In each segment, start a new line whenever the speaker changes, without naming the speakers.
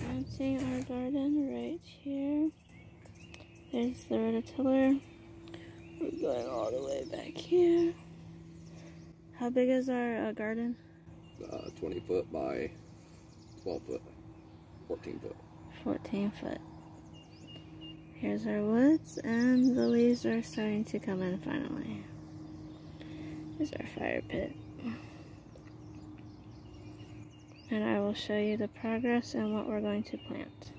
planting our garden right here. There's the rototiller. We're going all the way back here. How big is our uh, garden? Uh, 20 foot by 12 foot, 14 foot. 14 foot. Here's our woods, and the leaves are starting to come in finally. Here's our fire pit and I will show you the progress and what we're going to plant.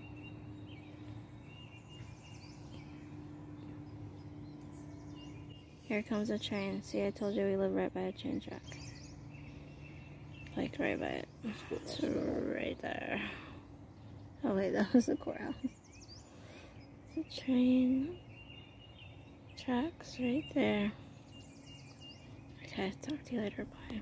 Here comes a train. See, I told you we live right by a train track. Like right by it. It's right there. Oh wait, that was the courthouse. The train tracks right there. Okay, talk to you later. Bye.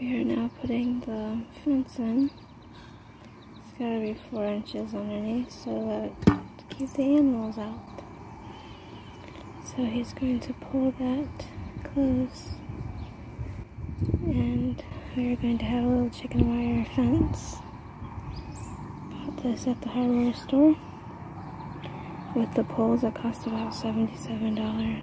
We are now putting the fence in. It's gotta be four inches underneath so that to keep the animals out. So he's going to pull that close and we're going to have a little chicken wire fence. Bought this at the hardware store with the poles that cost about $77.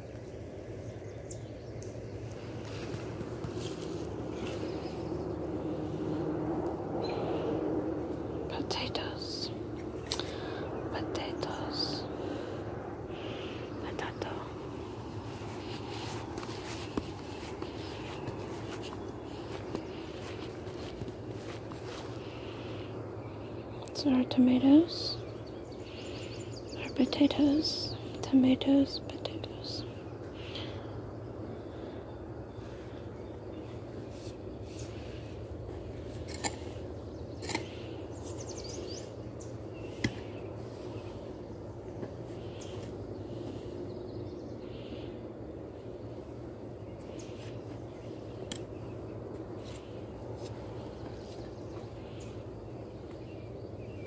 potatoes, potatoes, potato. So our tomatoes. Our potatoes, tomatoes, potatoes.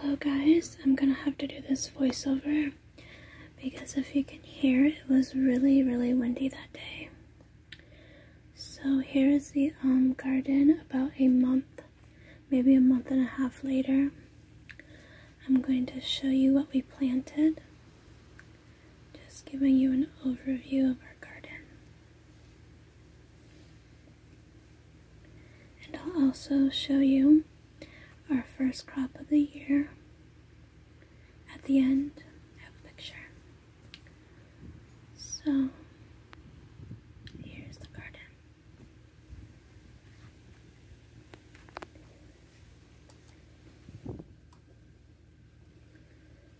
Hello guys, I'm gonna have to do this voiceover because if you can hear it was really really windy that day. So here's the um garden about a month maybe a month and a half later, I'm going to show you what we planted. Just giving you an overview of our garden. And I'll also show you our first crop of the year at the end. I have a picture. So, here's the garden.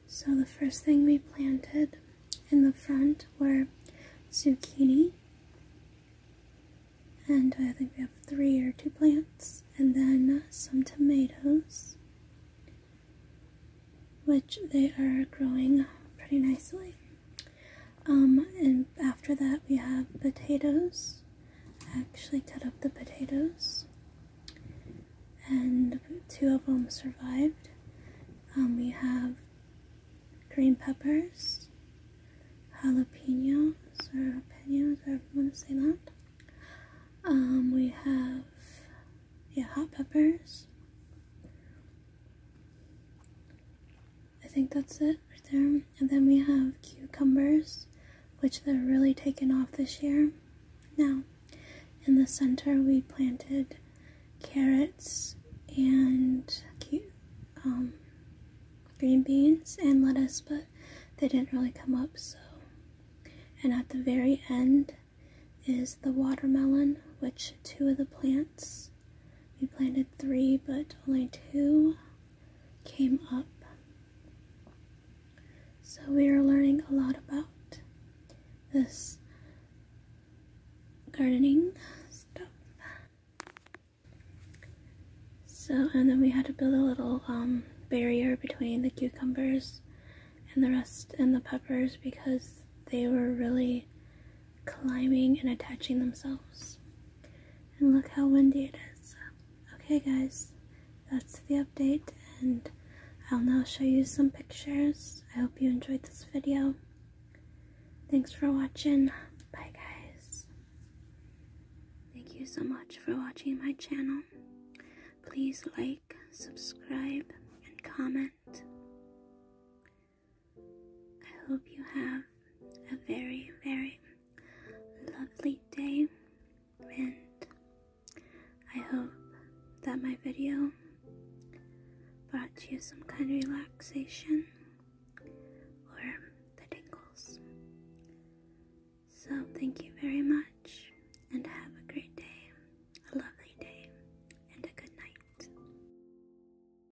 So the first thing we planted in the front were zucchini. And I think we have three or two plants. And then some tomatoes, which they are growing pretty nicely. Um, and after that, we have potatoes. I actually cut up the potatoes, and two of them survived. Um, we have green peppers, jalapenos, or jalapenos, however you want to say that. Um, we have yeah, hot peppers. I think that's it right there. And then we have cucumbers, which they're really taking off this year. Now, in the center, we planted carrots and um, green beans and lettuce, but they didn't really come up, so. And at the very end is the watermelon, which two of the plants we planted three, but only two came up. So we are learning a lot about this gardening stuff. So, and then we had to build a little um, barrier between the cucumbers and the rest and the peppers because they were really climbing and attaching themselves. And look how windy it is. Okay guys, that's the update and I'll now show you some pictures. I hope you enjoyed this video. Thanks for watching. Bye guys. Thank you so much for watching my channel. Please like, subscribe, and comment. I hope you have a very, very lovely day, and I hope that my video brought you some kind of relaxation or the tingles. So, thank you very much, and have a great day, a lovely day, and a good night.